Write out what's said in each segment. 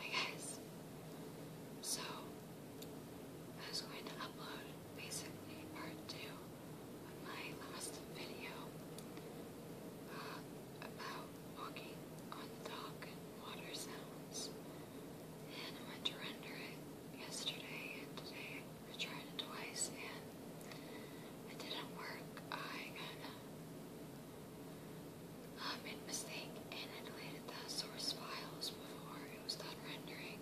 Hi guys. So I was going to upload basically part two of my last video uh, about walking on the dock and water sounds. And I went to render it yesterday and today. I tried it twice and it didn't work. I kind I made a mistake and I deleted the source files before it was done rendering.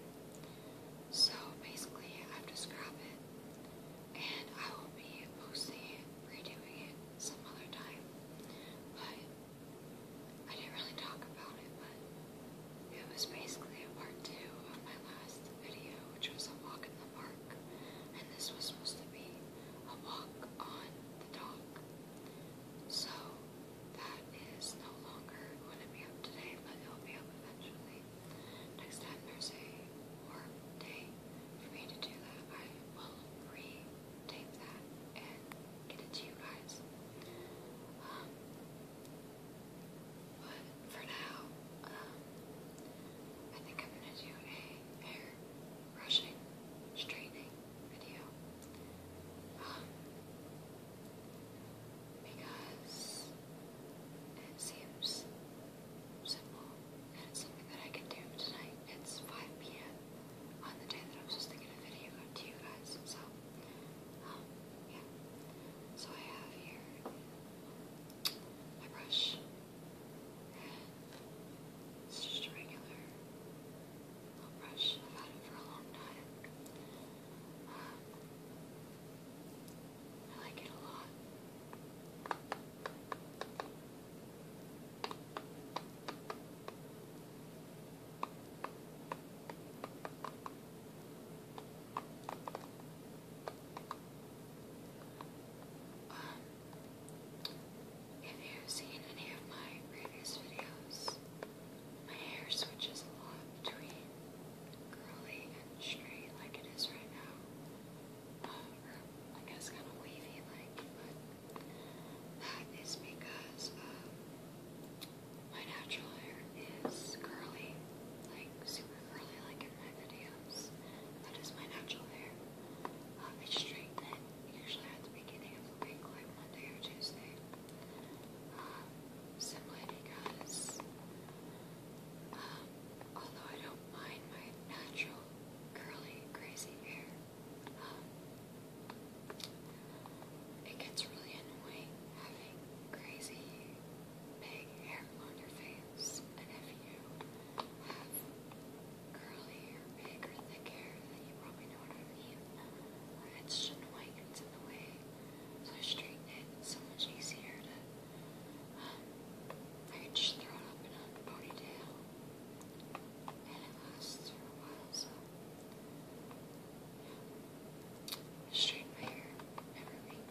So basically, I have to scrap it and I will be mostly redoing it some other time. But I didn't really talk about it, but it was basically a part two of my last video, which was a walk in the park. And this was supposed to be a walk on talk. So that is no longer going to be up today, but it'll be up eventually. Next time there's day for me to do that, I will re-tape that and get it to you guys. Um, but for now, um, I think I'm going to do a hair brushing, straightening video. Um, because it seems simple and it's something that I can do tonight. It's 5 p.m. on the day that I'm supposed to get a to you guys. So, um, yeah. So I have here my brush. It's just a regular. brush. I've had it for a long time. I like it a lot. Um, if you've seen any of my previous videos, my hair switches a lot between curly and straight like it is right now. Um, I guess kind of wavy like, that is because um, my natural hair is curly, like super curly like in my videos. That is my natural hair. Um, I straighten it usually at the beginning of the week, like Monday or Tuesday. Um, simply because, um, although I don't mind my natural curly, crazy hair, um, it gets really annoying having crazy big hair on your face, and if you have curly or big or thick hair, then you probably know what I mean. It's just white, it's in the way. So I straighten it, it's so much easier to, um, I could just throw it up in a ponytail. And it lasts for a while, so. Yeah. I straighten my hair every week.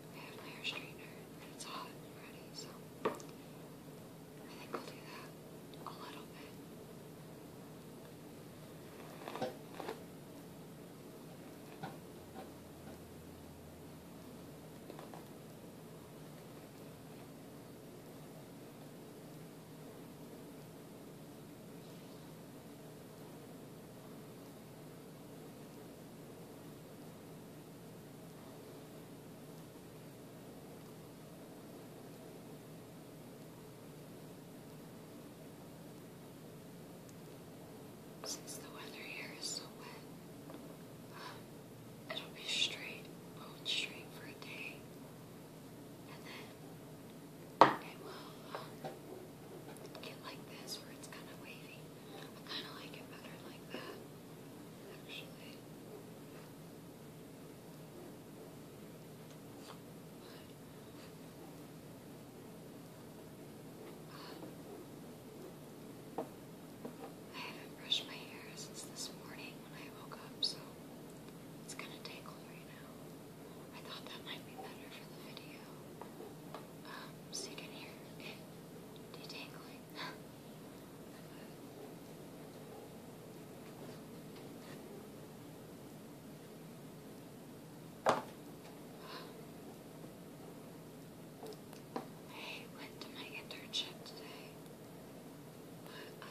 I have my hair straightener and it's hot already, so I think we'll do that a little bit. Since the weather here is so wet, um, it'll be straight, bone straight for a day, and then it will um, it like this where it's kind of wavy. I kind of like it better like that, actually. I haven't brushed my hair since this morning when I woke up, so it's kind of tangled right now. I thought that might be better for the video um, so you here. hear detangling. I went to my internship today, but I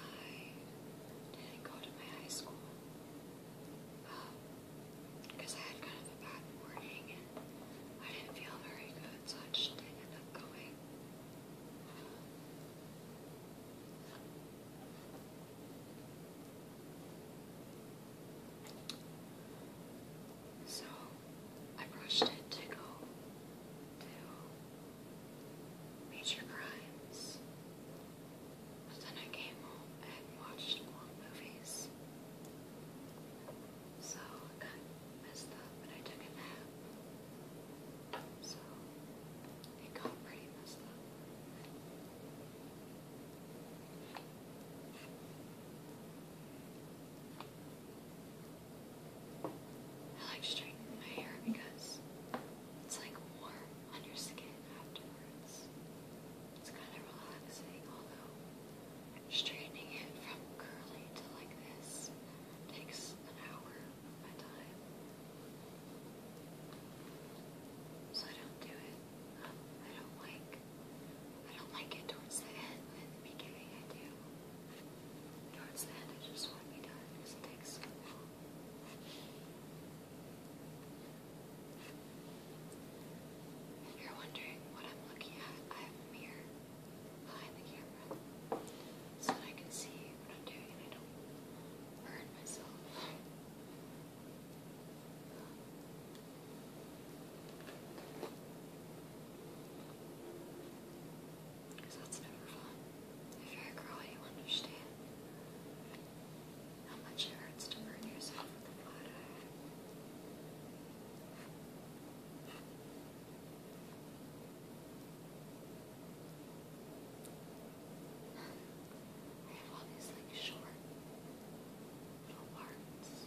didn't go to my high school. Um, because I had kind of a bad morning and I didn't feel very good, so I just didn't end up going. So I brushed it to go to Major Crimes. But then I came home and watched more movies. So I got messed up and I took a nap. So it got pretty messed up. I like straightening my hair because it's like warm on your skin afterwards. It's kind of relaxing, although straightening it from curly to like this takes an hour of my time. So I don't do it. I don't like I don't like it towards the end, but in the I do. Towards the end I just want to done because it takes you're wondering what I'm looking at, I have a mirror behind the camera so that I can see what I'm doing and I don't burn myself. Because that's never fun. If you're a girl, you understand how much it hurts to burn yourself with a flat I have all these like short little parts.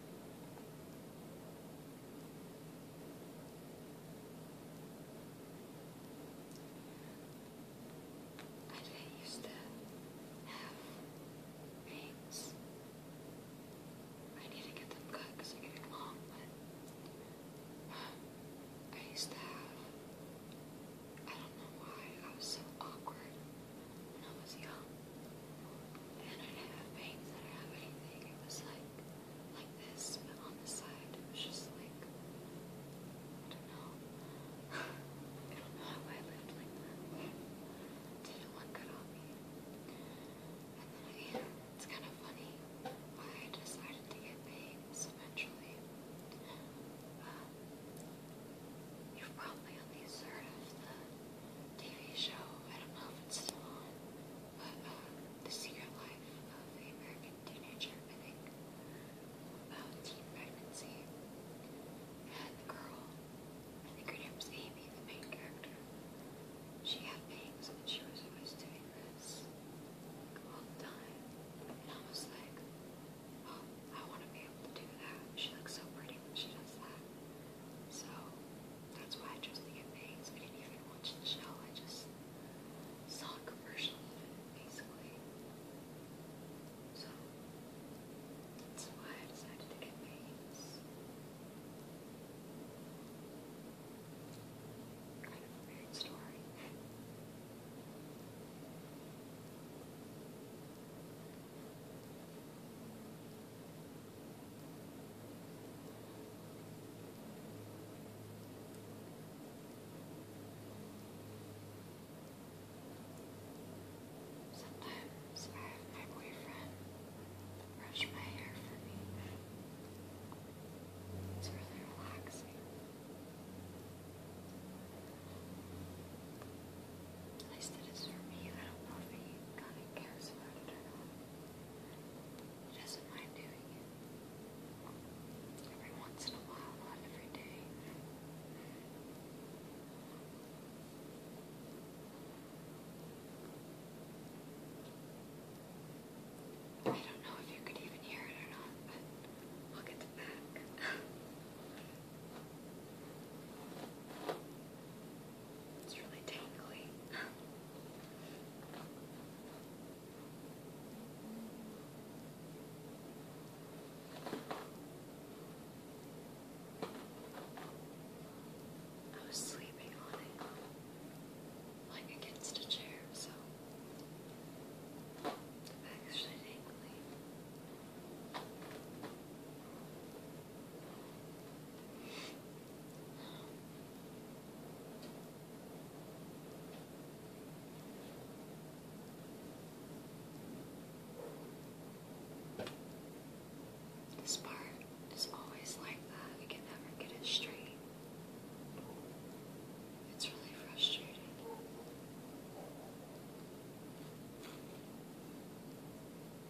I didn't used to have rings. I need to get them cut because they're getting long, but I used to have, I don't know why, I was so awkward when I was young. And I didn't have veins, I have anything. It was like, like this, but on the side. It was just like, don't know. don't know how I lived like that. Didn't look good on And then I, it's kind of funny why I decided to get veins eventually. you've probably at heard of the TV show. I don't know if it's still on, but um, The Secret Life of the American Teenager, I think, about teen pregnancy. And the girl, I think her name's Amy, the main character. She had bangs and she was always doing this all the time. And I was like, oh, I want to be to do that. She looks so pretty when she does that. So that's why I chose to get didn't even watch the show. I just saw a commercial of basically. So that's why I decided to get bangs. Kind weird story. Sometimes I have my boyfriend brush my hair for me. It's really relaxing. At least it is for me. I don't know if he kind of cares about it or not. He doesn't mind doing it. Every once in a while, not every day. I don't know if you could even hear it or not, but look at the back. It's really tangly. I was sleeping on it, like against a chair, so it's actually tingly. This part is always like that. We can never get it straight. It's really frustrating.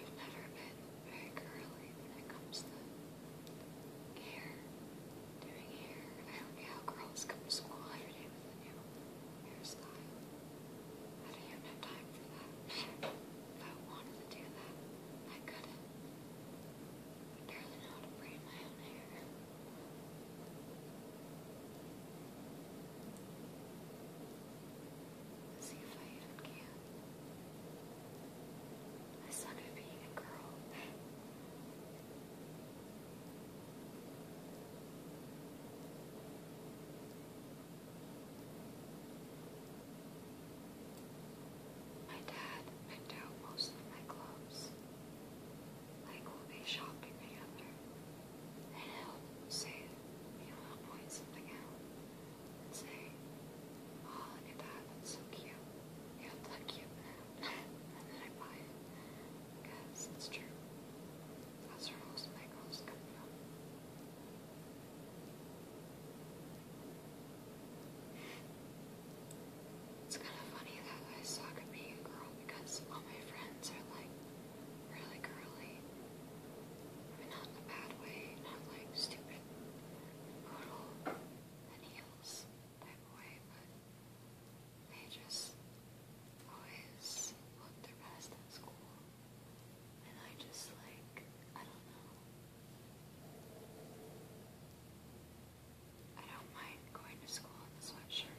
I've never been very girly when it comes to hair, doing hair. I don't know how girls come to school every day with a new hairstyle. I don't even have time for that. if I wanted to do that, I couldn't. I barely know how to braid my own hair. Let's see if I even can a son of being a girl. My dad picked out most of my clothes, like we'll be shopping together, he'll say, he'll point something out and say, oh, look at that, that's so cute you're lucky and then I buy it because it's true. That's where most of my It's kind of funny that I saw I could a girl because all my friends are like really girly. I not in a bad way, not like stupid, brutal, any feels that way, but they just always look their best at school. And I just like, I don't know. I don't mind going to school in the sweatshirt.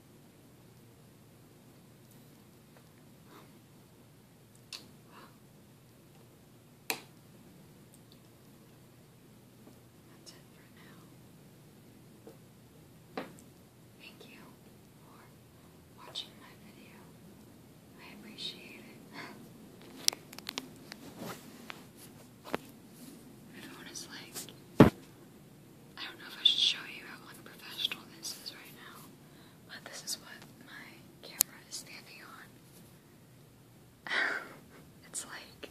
That's it for now. Thank you for watching my video. I appreciate it. Everyone is like, I don't know if I should show you how unprofessional this is right now, but this is what my camera is standing on. it's like,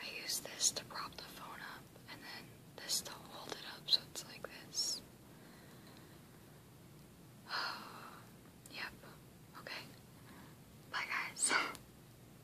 I use this to prop the phone up, and then this to hold it up so it's like this. yep. Okay. Bye, guys.